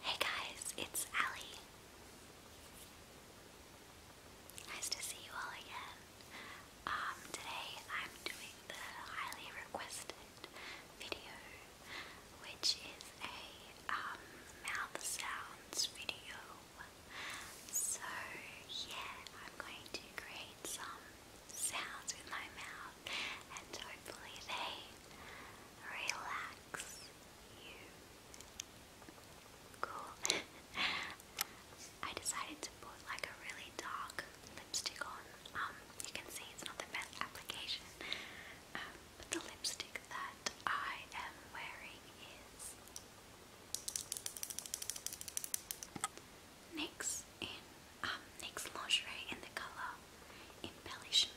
Hey guys, it's Allie. Nice to see you all again. Um, today I'm doing the highly requested video, which is a um, mouth sounds video so, yeah, I'm going to create some sounds with my mouth and hopefully they relax you. Cool. I decided to put like a really dark lipstick on. Um, you can see it's not the best application, um, but the lipstick that I am wearing is Next in um, next lingerie in the color embellishment.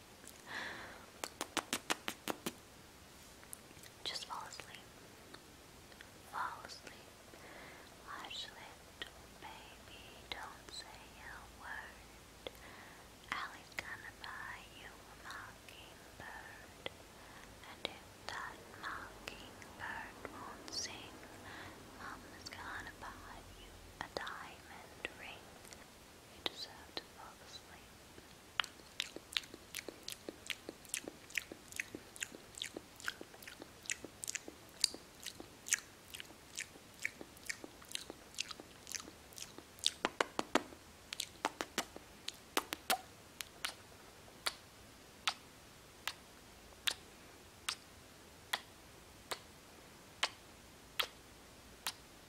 Just fall asleep. Fall asleep. Ashlit, baby, don't say a word. Allie's gonna buy you a mockingbird. And if that mockingbird won't sing, Mama's gonna buy you a diamond ring. You deserve to fall asleep. Good night.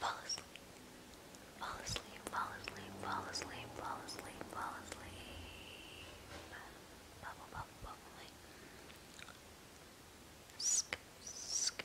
Fall asleep. Fall asleep, fall asleep, fall asleep, fall asleep, fall asleep. Bubble, bubble, bubble. Sk, sk,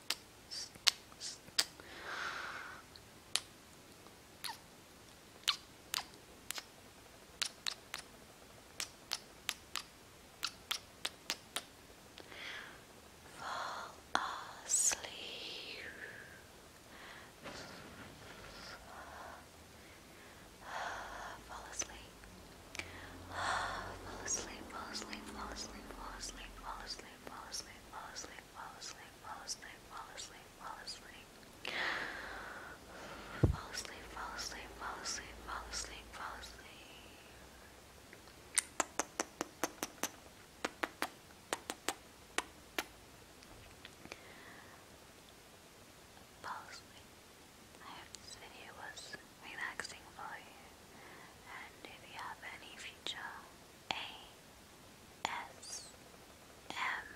Fall asleep. Fall asleep fall asleep, fall asleep, fall asleep, fall asleep, fall asleep, fall asleep, fall asleep, fall asleep, fall asleep, fall asleep, fall asleep. Fall asleep, fall asleep, fall asleep, fall asleep, fall asleep. Fall asleep. I hope this video was relaxing for you. And if you have any future A S M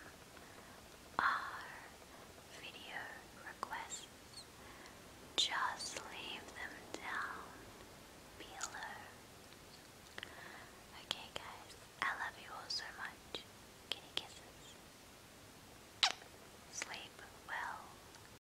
R video requests, just leave them down below. Okay, guys, I love you all so much. Kitty kisses. Sleep well.